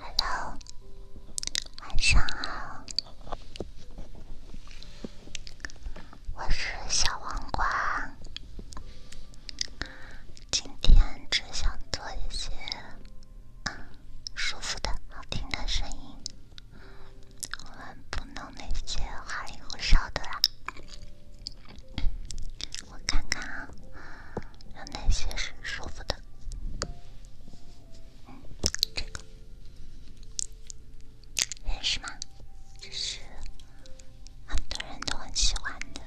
Hello，晚上好，我是小黄瓜，今天只想做一些舒服的好听的声音，我们不弄那些花里胡哨的啦。我看看啊，有哪些是舒服的？这个认识吗？这是很多人都很喜欢的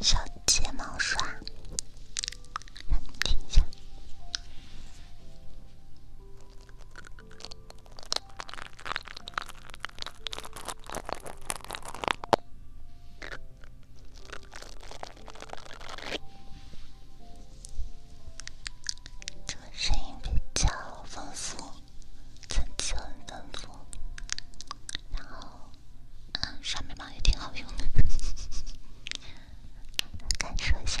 小睫毛刷，你听一下。这个声音比较丰富，层次很丰富。然后，嗯，刷眉毛也挺好用的，感受一下。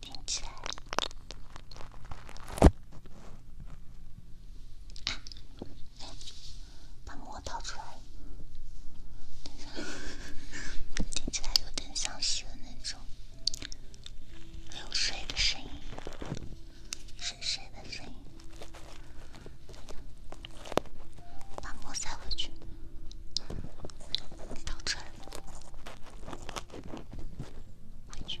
听起来，啊，哎呀，掏出来了。听起来有点像是那种流水的声音，水水的声音。把膜塞回去，到这了，回去。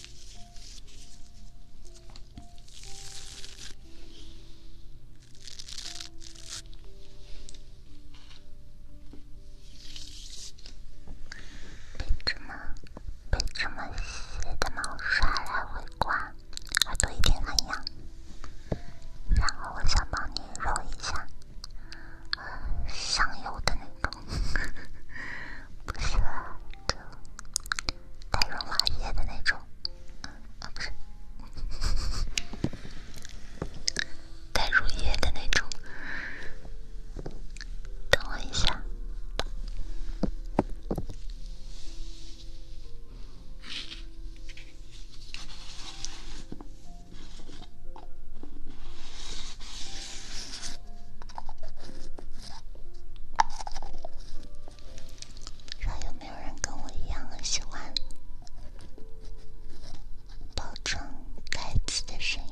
被这么被这么细的毛刷来回刮，还多一点痒。然后我想帮你揉一下，香油的女工，不是。带润滑液的那种，啊不是，带乳液的那种。等我一下。还有没有人跟我一样很喜欢包装盖子的声音？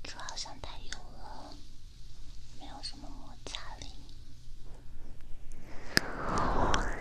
这好像太油了，没有什么摩擦力。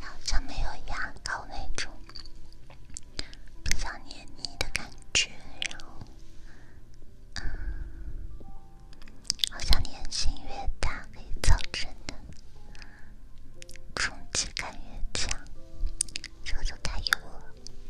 好像没有牙膏那种不想黏腻的感觉，然后，嗯，好像黏性越大，可以造成的冲击感越强，这个就太油了。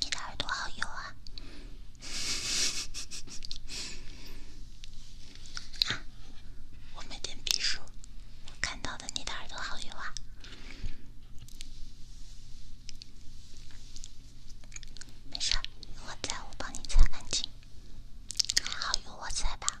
你的耳朵好油啊！啊，我没点笔数，我看到的你的耳朵好油啊。没事，有我在，我帮你擦干净。还好有我在吧？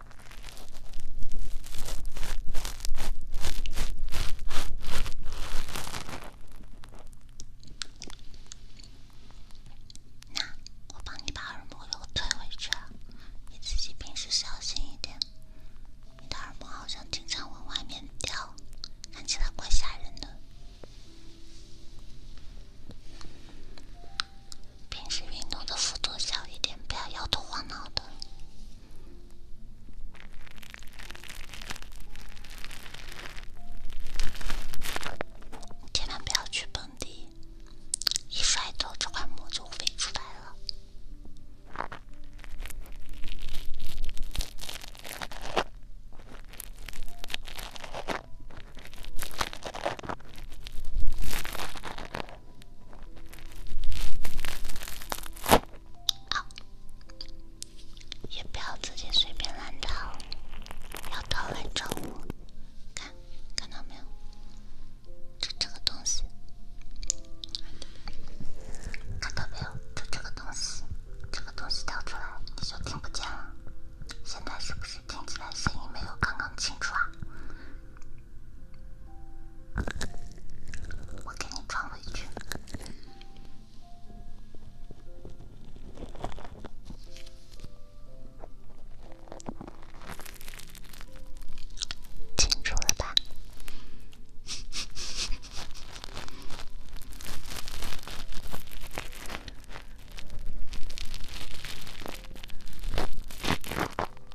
那我帮你把耳膜又推回去，你自己平时小心一点。你的耳膜好像经常往外面掉，看起来怪吓人的。平时运动的幅度小一点，不要摇头晃脑的，千万不要去蹦迪，一摔头这块膜就飞出来了。啊！也不要自己随便乱掏，要掏来找我。看，看到没有？就这个东西。看到没有？就这个东西，这个东西掉出来，你就听不见了。现在是不是听起来声音没有刚刚清楚啊？我给你传回去，清楚了吧？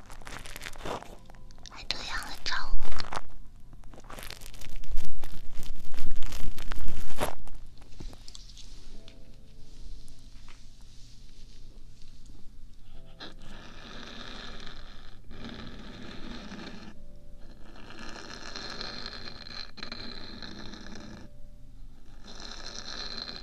还这样来找我？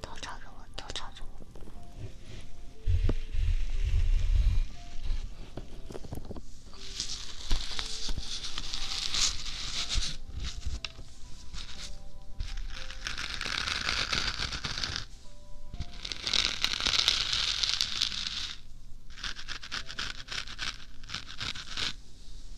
都朝着我，都朝着我。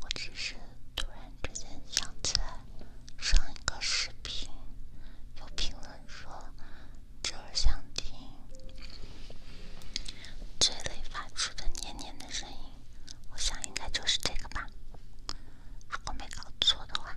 我只是突然之间想起来，上一个视频有评论说，就是想听嘴里发出的粘粘的声音，我想应该就是这个吧，如果没搞错的话。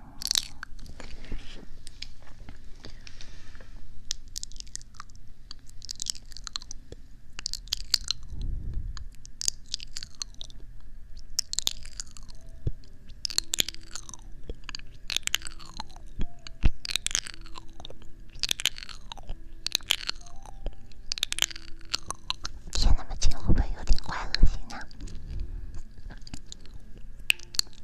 天那么近，会不会有点快恶心啊？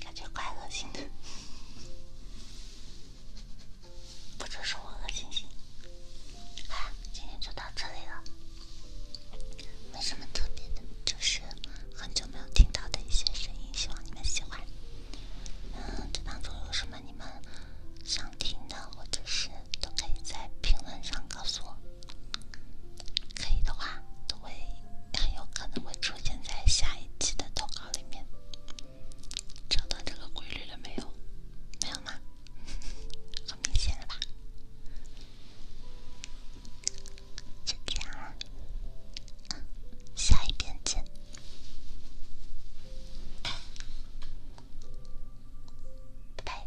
感觉怪恶心的，不只是我恶心。哎，今天就到这里了，没什么特别的，就是很久没有听到的一些声音，希望你们喜欢。嗯，这当中有什么你们想听的，或者是都可以在评论上告诉我。可以的话，都会很有可能会出现在下一期的投稿里面。找到这个规律了没有？没有吗？很明显了吧？就这样，嗯，下一篇见，拜拜。